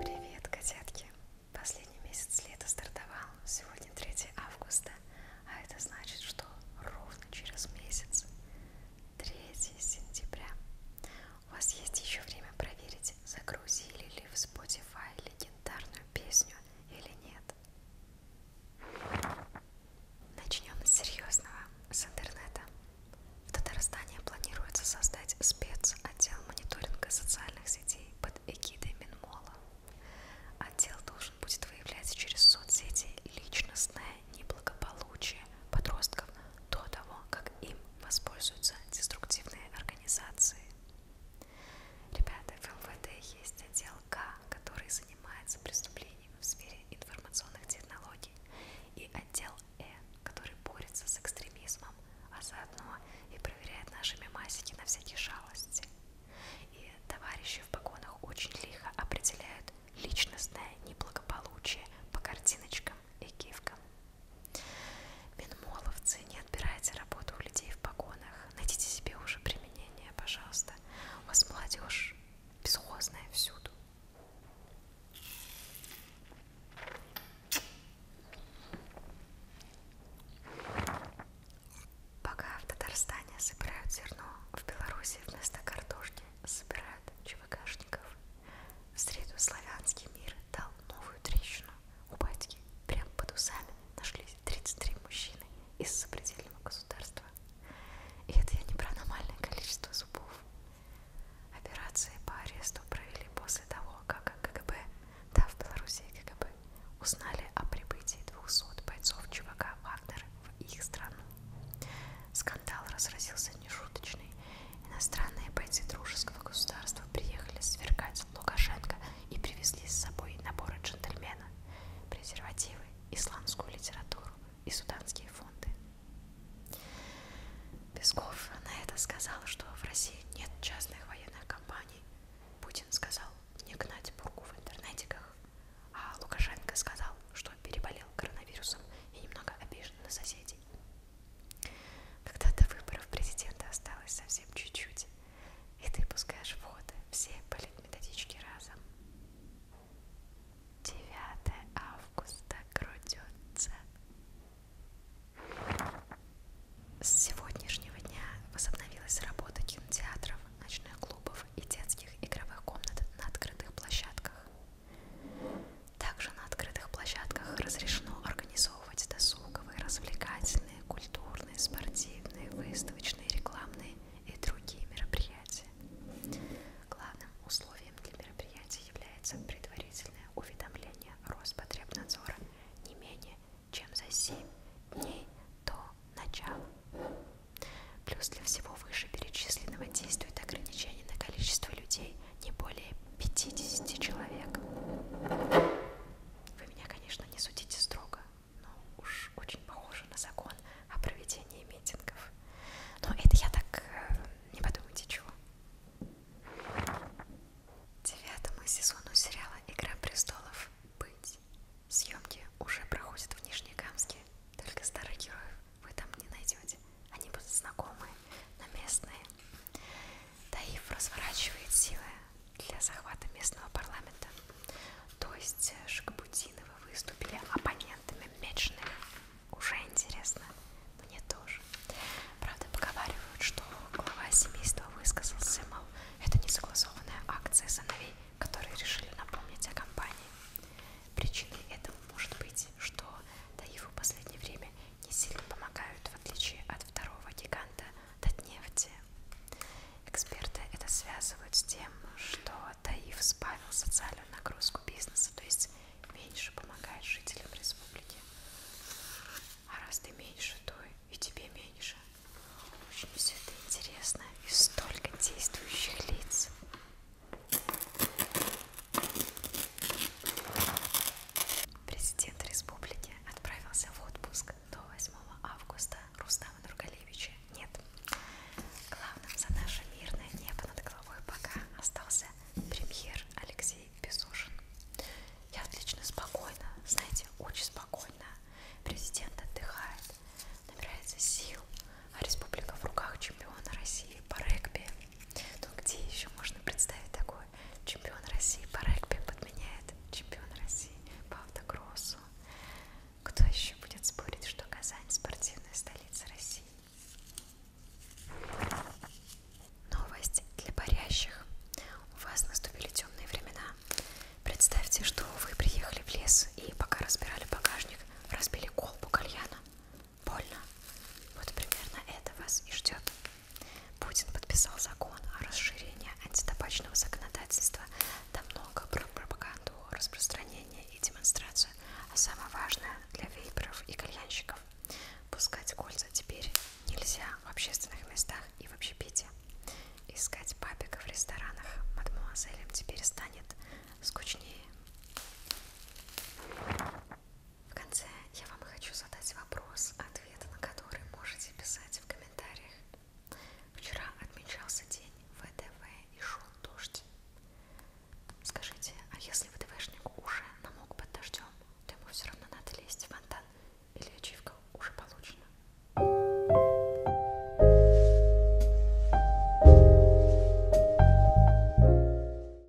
Привет, котятки! Последний месяц лета стартовал. Сегодня 3 августа, а это значит, что ровно через месяц, 3 сентября, у вас есть еще время проверить, загрузили ли в Spotify легендарную песню или нет. Начнем с серьезного, с интернета. В Татарстане планируется создать спецотдел мониторинга социальных сетей под эгидой Минмола. Отдел должен будет выявлять через соцсети личностное неблагополучие подростков до того, как им воспользуются деструктивные организации. Ребята, в МВД есть отдел К, который занимается преступлениями в сфере информационных технологий, и отдел Э, который борется с экстремизмом, а заодно и проверяет наши мемасики на всякие шалости. И товарищи в погонах очень лихо определяют личностное неблагополучие по картиночкам и гифкам. Минмоловцы, не отбирайте работу у людей в погонах, найдите себе уже применение меня, пожалуйста. У вас молодежь бесхозная всюду. Пока в Татарстане собирают зерно, в Беларуси вместо картошки собирают ЧВКшников. В среду славянский мир дал новую трещину. У батьки прямо под усами нашли 33 мужчины из сопредельного государства. И это я не про аномальное количество зубов. Операции по аресту провели после того, как КГБ, да, в Белоруссии КГБ, узнали о прибытии 200 бойцов ЧВК Вагнер в их страну. Скандал разразился нешуточный. Иностранные бойцы дружеского государства приехали свергать Лукашенко и привезли с собой наборы джентльмена, презервативы, исламскую литературу и суданские фонды. Песков на это сказал, что в России нет частных военных компаний. Путин сказал не гнать бурку в интернетиках, а Лукашенко сказал, что переболел коронавирусом и немного обижен на соседей. Когда до выборов президента осталось совсем чуть-чуть, и ты пускаешь в ход все политметодички разом. 9 августа крутится. С сегодняшнего дня возобновилась работа кинотеатров, ночных клубов и детских игровых комнат на открытых площадках. Также на открытых площадках разрешено организовывать досуговые, развлекательные, культурные, культурные, спортивные, выставочные, рекламные и другие мероприятия. Главным условием для мероприятия является предварительное уведомление Роспотребнадзора не менее чем за 7 дней до начала. Плюс для всего вышеперечисленного действует ограничение на количество людей не более 50 человек. Вы меня, конечно, не судите строго, но уж очень похоже на закон о проведении митингов. Но это я так... Э, не подумайте чего. Девятому сезону сериала «Игра престолов. Быть». Съемки уже проходят в Нижнекамске, только старых героев вы там не найдете. Они будут знакомые, но местные. Таиф разворачивает силы для захвата местного парламента. То есть э, Шагабутиновы выступили оппонентами Мечных. Уже интересно. Мне тоже. Правда, поговаривают, что глава семейства высказался, мол, это несогласованная акция сыновей, которые решили напомнить о компании. Причиной этого может быть, что Таифу в последнее время не сильно помогают в отличие от второго гиганта Татнефти. Эксперты это связывают с тем, что Таиф сбавил социальную нагрузку бизнеса, то есть меньше помогает жителям республики. А раз ты меньше, то и тебе меньше. Очень все это интересно и столько действующих лиц. Президент республики отправился в отпуск до 8 августа. Рустама Нургалевича нет. Главным за наше мирное небо над головой пока остался премьер Алексей Безушин. Я отлично спокойно, знаете, очень спокойно. Президент отдыхает, набирается сил, а республика в руках чемпиона России по регби. Ну где еще можно представить такое? Чемпион России по регби подменяет чемпион России по автокроссу. Кто еще будет спорить, что Казань спортивная столица России? Новость для парящих. У вас наступили темные времена. Представьте, что вы приехали в лес и пока разбирали багажник, разбили колбу кальяна больно. Вот примерно это вас и ждет. Путин подписал закон о расширении антитабачного законодательства до много про пропаганду, распространение и демонстрацию. А самое важное для вейперов и кальянщиков. Пускать кольца теперь нельзя в общественных местах и в общепите. Искать папика в ресторанах мадемуазелям теперь станет скучнее. В конце я вам хочу задать вопрос, ответы на который можете писать в комментариях. Вчера отмечался день ВДВ и шел дождь. Скажите, а если ВДВшник уже намок под дождем, то ему все равно надо лезть в фонтан или ачивка уже получена?